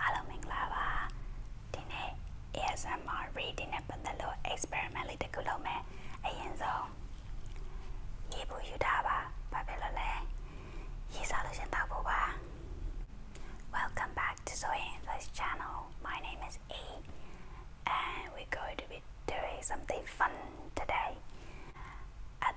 Hello မင်္ဂလာပါဒီနေ့ ASMR reading နဲ့ပတ်သက်လို့ experiment လေးတစ်ခုလုပ်မယ်အရင်ဆုံးရေဘူးယူထားပါဘာဖြစ်လို့လဲရေစားလို့ရှင်တောက်ဖို့ပါ Welcome back to Zoe English channel my name is E, and we're going to be doing something fun today and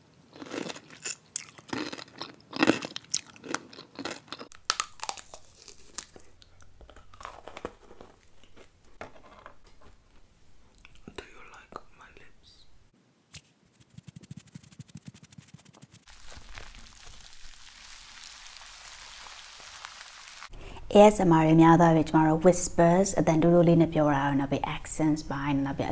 Do you like my lips? ASMR အများသောဖြင့်ကျမတို့ whispers အတန်တူးတူးလေးနဲ့ပြောတာကိုနောက်ပြီး accents ပိုင်းနောက်ပြီး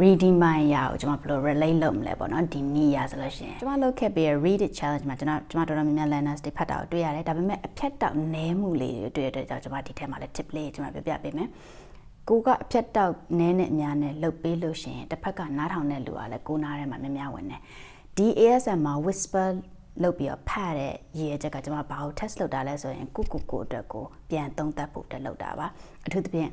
redefine ရအောင်ကျွန်မဘယ်လို relate လုပ်မလဲပေါ့နော်ဒီနေ့ရဆိုလို့ရှိရင်ကျွန်မလုပ်ခဲ့ပြီး read it challenge မှာကျွန်တော်ကျွန်မတော်တော်များများ learners တွေဖတ်တာကိုတွေ့ရတယ်ဒါပေမဲ့အဖြတ်တောက်နည်းမှုလေးတွေတွေ့ရတဲ့ကြောင့်ကျွန်မဒီထဲမှာလည်း tip လေးကျွန်မပြပြပေးမယ်ကိုကအဖြတ်တောက်နည်းနဲ့အများနဲ့လှုပ်ပေးလို့ရှိရင်တစ်ဖက်ကနားထောင်တဲ့လူကလည်းကိုနားထဲမှာများများဝင်တယ်ဒီ ASM မှာ whisper လုပ်ပြီးတော့ဖတ်တဲ့ရည်ရချက်ကကျွန်မဘာလို့ test လုပ်တာလဲဆိုရင်ကိုကိုကိုအတွက်ကိုပြန်သုံးသပ်ဖို့တက်လုပ်တာပါအထူးသဖြင့်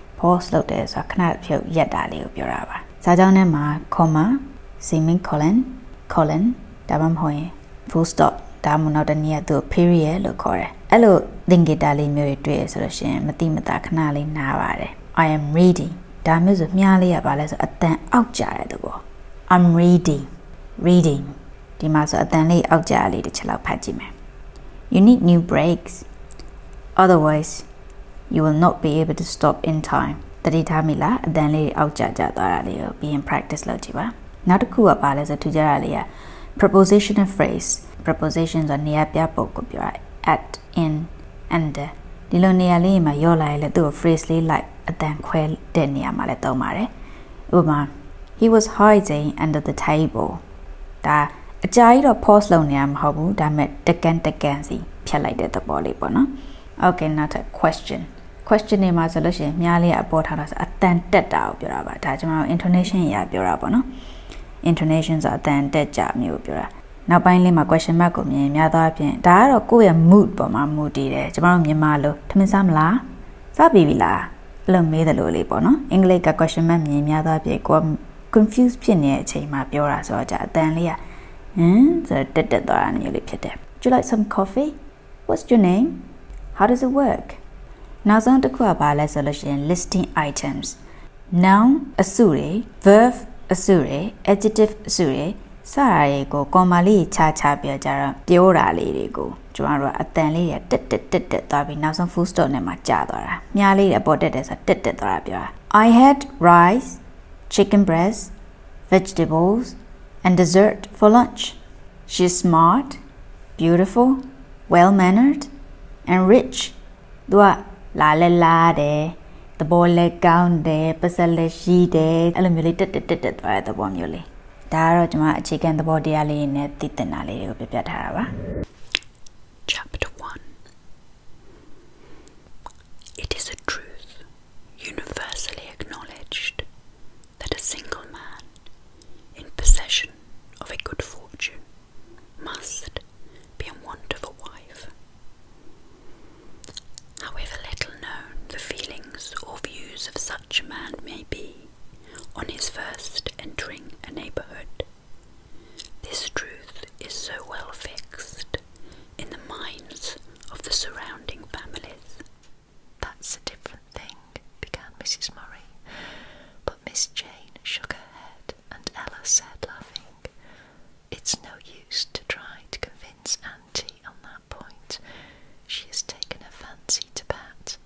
pause လုပ်တယ်ဆိုတာခဏဖြုတ်ရက်တာလေးကိုပြောတာပါစာကြောင်းထဲမှာ comma seeming colon colon ဒါမှမဟုတ်ရင် full stop ဒါမှမဟုတ်နောက်တနည်းကသူ period လို့ခေါ်တယ်အဲ့လို thingita လေးမျိုးတွေတွေ့ရဆိုလို့ရှိရင်မတိမတာခဏလေးနားပါတယ် i am reading ဒါမျိုးဆိုမြားလေးရပါလဲဆိုအတန်အောက်ကြတဲ့သဘော i'm reading reading ဒီမှာဆိုအတန်လေးအောက်ကြလေးတစ်ချက်လောက်ဖတ်ကြည့်မယ် you need new breaks otherwise you will not be able to stop in time တတိထားမိလားအတန်လေးအောက်ကျကျသွားတာလေးကို being practice လုပ်ကြည့်ပါနောက်တစ်ခုကပါလဲဆိုထူကြတာလေးက prepositional phrase preposition ဆိုတာနေရာပြပုတ်ကိုပြောတာ at in under ဒီလိုနေရာလေးမှာရော့လာရင်လည်းသူ့ကို phrase လေး like အတန်ခွဲတဲ့နေရာမှာလည်းသုံးပါတယ်ဥပမာ he was hiding under the table ပေါ့ဒါအကြာကြီးတော့ pause လုပ်နေရမှာမဟုတ်ဘူးဒါပေမဲ့တကန်တကန်စီဖြတ်လိုက်တဲ့သဘောလေးပေါ့နော် okay နောက်ထပ် question question နေမှာဆိုလို့ရှိရင်မြားလေးအပေါ်ထားတာဆိုအတန်တက်တာကိုပြောတာပါဒါကျွန်တော် intonation ရာပြောတာပေါ့နော် intonation ဆိုအတန်တက်ကြမျိုးပြောတာနောက်ပိုင်းလေးမှာ question mark ကိုမြင်များသောအပြင်ဒါကတော့ကိုယ့်ရဲ့ mood ပေါ်မှာမူတည်တယ်ကျွန်တော်တို့မြန်မာလိုထမင်းစားမလားစားပြီလားအဲ့လိုမေးတယ်လို့လေးပေါ့နော်အင်္ဂလိပ်က question mark မြင်များသောအပြင်ကိုယ့် confuse ဖြစ်နေတဲ့အချိန်မှာပြောတာဆိုတော့ကြာအတန်လေးကဟမ်ဆိုတော့တက်တက်သွားတာမျိုးလေးဖြစ်တယ် Do you like some coffee? What's your name? How does it work? နောက်ဆုံးတစ်ခုကဘာလဲဆိုလို့ရှိရင် listing items noun အစုတွေ verb အစုတွေ adjective အစုတွေစတာတွေကိုကော်မလေးခြားခြားပြောကြတော့ပြောတာလေးတွေကိုကျွန်တော်တို့ကအတန်လေးတွေတက်တက်တက်တက်သွားပြီးနောက်ဆုံး full stop နဲ့မှကြာသွားတာတာများလေးတယ်ပေါ်တက်တယ်ဆိုတာတက်တက်သွားတာပြောတာ I had rice chicken breast vegetables and dessert for lunch she's smart beautiful well mannered and rich သူကလာလဲလာတယ်သဘောလဲကောင်းတယ်ပတ်သက်လဲရှိတယ်အဲ့လိုမျိုးလေးတက်တက်တက်တက်သွားတဲ့သဘောမျိုးလေးဒါကတော့ကျွန်မအခြေခံသဘောတရားလေးနဲ့သိတင်တာလေးတွေကိုပြပြထားတာပါ Chapter 1 It is a truth universally acknowledged that a single man in possession of a good fortune must be in want of a wife. However little known the feelings or views of such a man may be, on his first entering a neighbourhood. This truth is so well fixed in the minds of the surrounding families. That's a different thing, began Mrs. Murray, but Miss Jane shook her head and Ella said, laughing, It's no use to try to convince Auntie on that point. She has taken a fancy to Pat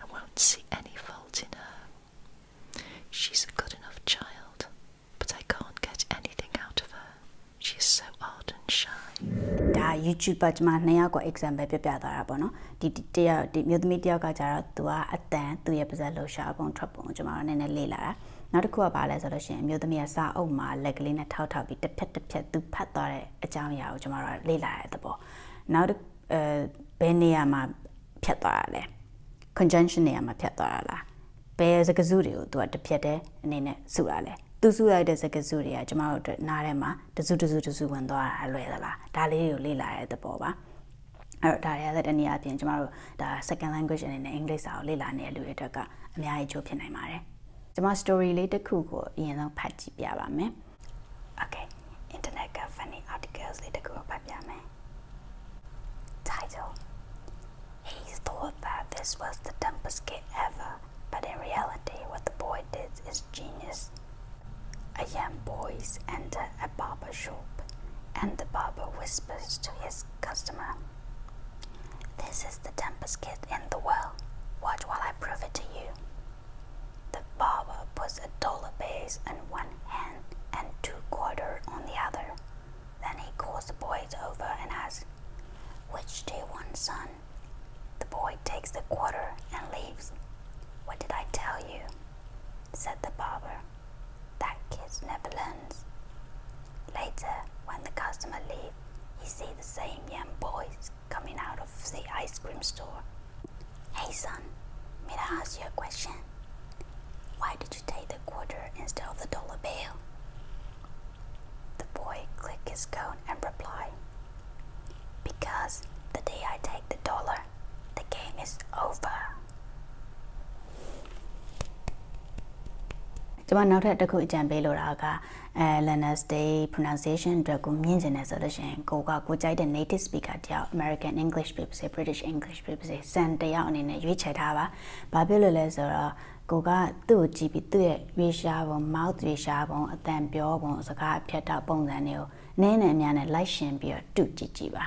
and won't see any fault. fault in her. She's a good enough child, but I can't get anything out of her. She is so odd and shy. ဒါ YouTube ပတ်မှာနှစ်ယောက်က example ပြပြသွားတာပေါ့နော်ဒီတယောက်ဒီမျိုးသမီးတယောက်ကကြတော့ तू ကအတန်သူ့ရဲ့ပါဇက်လှူရှာပုံထွက်ပုံကျွန်တော်နည်းနည်းလေ့လာတာနောက်တစ်ခုကဘာလဲဆိုတော့ရှင်အမျိုးသမီးကစာအုပ်မှာလက်ကလေးနဲ့ထောက်ထောက်ပြီးတစ်ဖက်တစ်ဖက်သူဖတ်သွားတဲ့အကြောင်းအရာကိုကျွန်တော်တို့လေ့လာရတဲ့သဘောနောက်တစ်အဲဘယ်နေရာမှာ ဖြတ်သွားရလဲ conjunction နေရာမှာဖြတ်သွားရလားဘယ်စကားစုတွေကိုသူကတစ်ဖြတ်တဲ့အနေနဲ့စုတာလဲသူစုလိုက်တဲ့စကားစုတွေကကျမတို့အတွက်နားထဲမှာတစုတစုတစုဝင်သွားတာလွယ်သလားဒါလေးတွေကိုလေ့လာရတဲ့သဘောပါအဲ့တော့ဒါတွေကလည်းတနည်းအားဖြင့်ကျမတို့ဒါ second language အနေနဲ့အင်္ဂလိပ်စာကိုလေ့လာနေတဲ့လူတွေအတွက်ကအများကြီးချိုးဖြစ်နိုင်ပါတယ်။ကျမ story လေးတစ်ခုကိုအရင်ဆုံးဖတ်ကြည့်ပြပါမယ်။ Okay, Internet funny articles later go up में. Title He thought that this was the dumbest kid ever, but in reality, what the boy did is genius. A young boy enters a barber shop, and the barber whispers to his customer, This is the dumbest kid in the world. Watch while I prove it to you. The barber puts a dollar base in one hand and two quarter on the other. Then he calls the boys over and asks, Which do you want, son? The boy takes the quarter and leaves. What did I tell you? said the barber. That kid never learns. Later, when the customer leaves, you see the same young boys coming out of the ice cream store. Hey son, may I ask you a question? Why did you take the quarter instead of the dollar bill? The boy click his cone and reply. Because the day I take the dollar, the game is over. Just now, I အဲ learners day pronunciation အတွက်ကိုမြင့်ကျင်တယ်ဆိုလို့ရှင်ကိုကကိုကြိုက်တဲ့ native speaker တယောက် American English ဖြစ်ပါစေ British English ဖြစ်ပါစေစံတယောက်အနေနဲ့ရွေးချယ်ထားပါဘာဖြစ်လို့လဲဆိုတော့ကိုကသူ့ကိုကြည့်ပြီးသူ့ရဲ့ရွေးရှားပုံ mouth ရွေးရှားပုံအတန်ပြောပုံစကားအဖြတ်တော့ပုံစံတွေကိုနည်းနည်းအများနဲ့လိုက်ရှင်ပြီးတော့တူကြည့်ကြည့်ပါ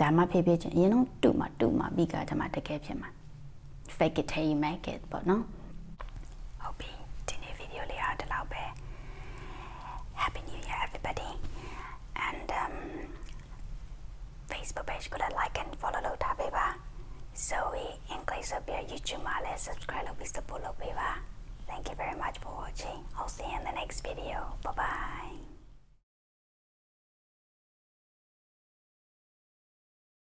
ဒါမှဖြည်းဖြည်းချင်းအရင်တော့တူမှတူမှပြီးကတည်းကတကယ်ဖြစ်မှာ fake it till you make it but no hope the new video lihat lau be happy new year everybody and um, facebook page could like and follow lo ta ba so we english up your youtube ma subscribe lo bi support ba thank you very much for watching i'll see you in the next video bye bye